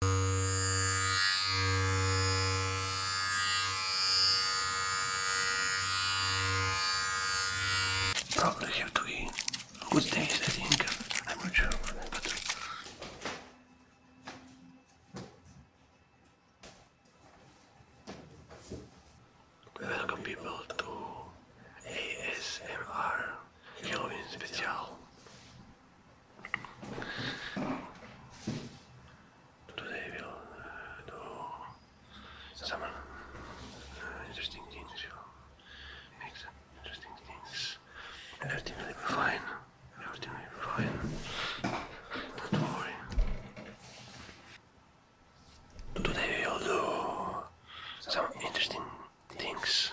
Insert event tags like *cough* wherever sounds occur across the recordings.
Probably have to good taste, I think. I'm not sure, Welcome people to ASMR Halloween Special. Today we'll do some interesting things. we interesting things. Everything will be fine. Everything will be fine. Don't worry. Today we'll do some interesting things.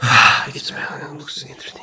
I can smell it. looks interesting.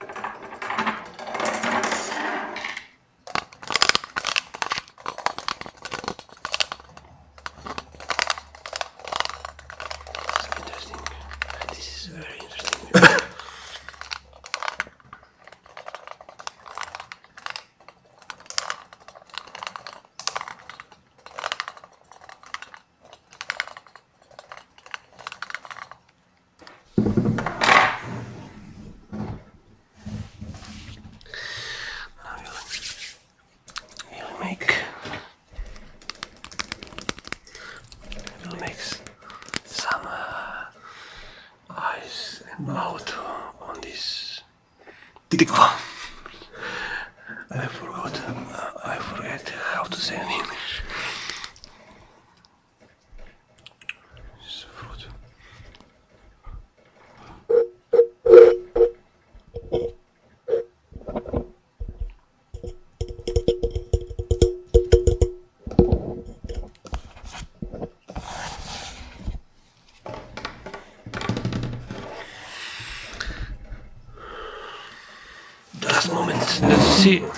Interesting. *coughs* This is very interesting. *coughs* *coughs* Now will make you'll make some uh, eyes and on this tikva. I forgot. I forget how to say in English. Last moment. Let's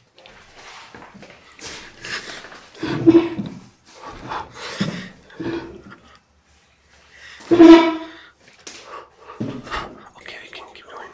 Okay, we can keep going.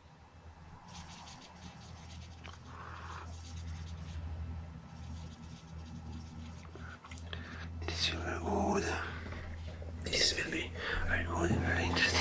This will be good. This will be very good, very interesting.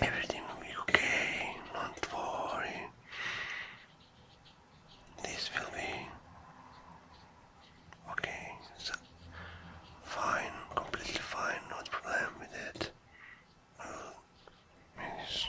Everything will be okay, not worry. This will be okay, so fine, completely fine, no problem with it. Well, yes.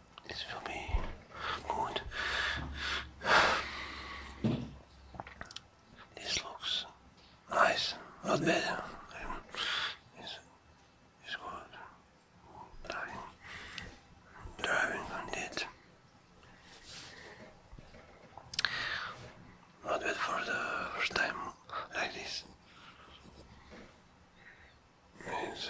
This will be good. This looks nice, not bad. Um, it's, it's good. Driving, driving on Not bad for the first time like this. It's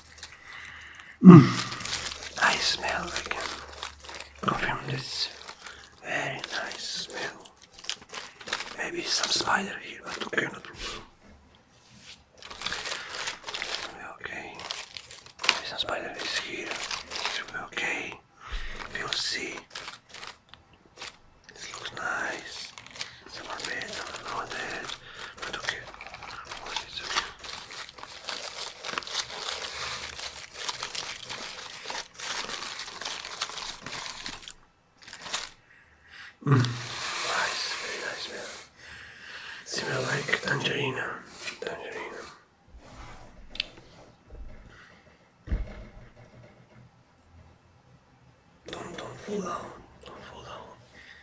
Mm. I smell again. Confirm this. Very nice smell. Maybe some spider here, but okay, not Okay. some spider is here. okay. we see. This looks nice. Some are bed, some are but okay, what is it? Mm. Nice, very nice smell. Smell like tangerine. Tangerine. Don't don't fall down. Don't fall down.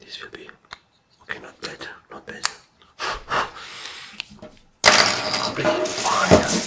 This will be okay, not bad, not bad. Pretty fine.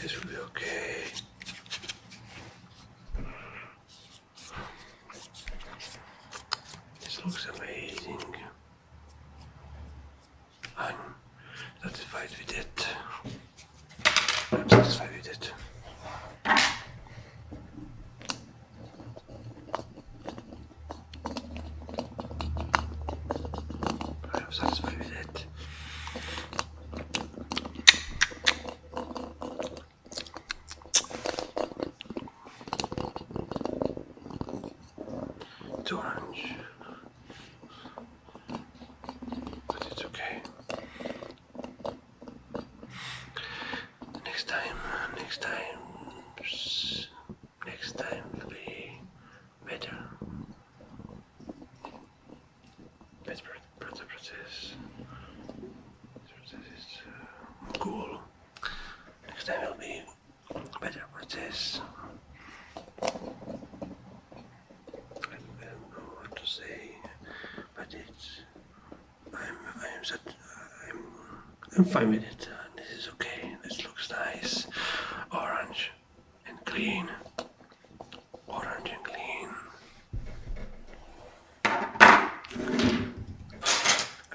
This will be okay. This looks amazing. I'm satisfied with it. I'm satisfied with it. I'm satisfied with it. It's orange. But it's okay. Next time, next time, next time will be better. This process, this is uh, cool. Next time will be better process. I don't know what to say, but it's I'm I'm I'm fine with it. This is okay. This looks nice, orange and clean orange and clean. I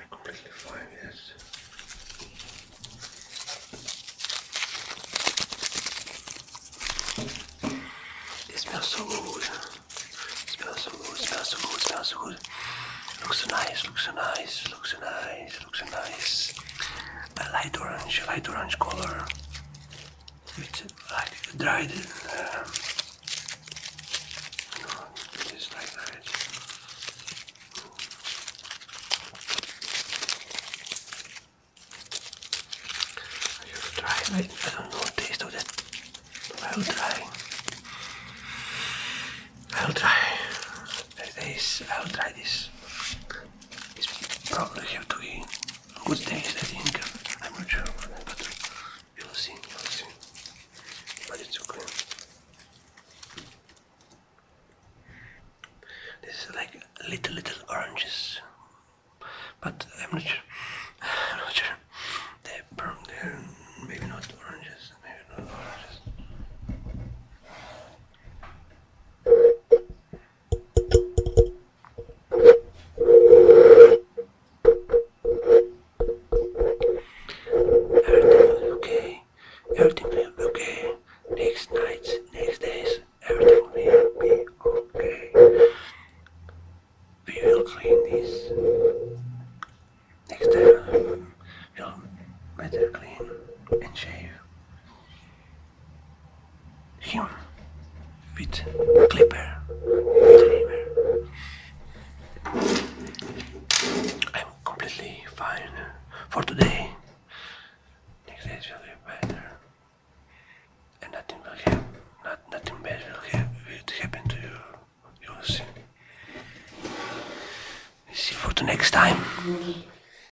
completely find this. It smells so good. It smells so good, smells so good, smells so good. Looks so nice, looks so nice, looks so nice looks nice. I light orange, light orange color. It's like dried. Um, no, it's like that. I have tried. I, I don't know what taste of that. I'll try. I'll try. this. is. I'll try this. It's probably have to be good days, I think. I'm not sure, but we'll see, we'll see. But it's okay. This is like little, little oranges, but I'm not sure. *sighs* I'm not sure. They're, they maybe not oranges, maybe not oranges. Everything okay. Everything will be okay. Next nights, next days, everything will be okay. We will clean this. Next time, you um, will better clean and shave with clipper. I'm completely fine for today. Next day will be better, and nothing will happen. Not, nothing bad will, happen to you. You'll see. See you for the next time.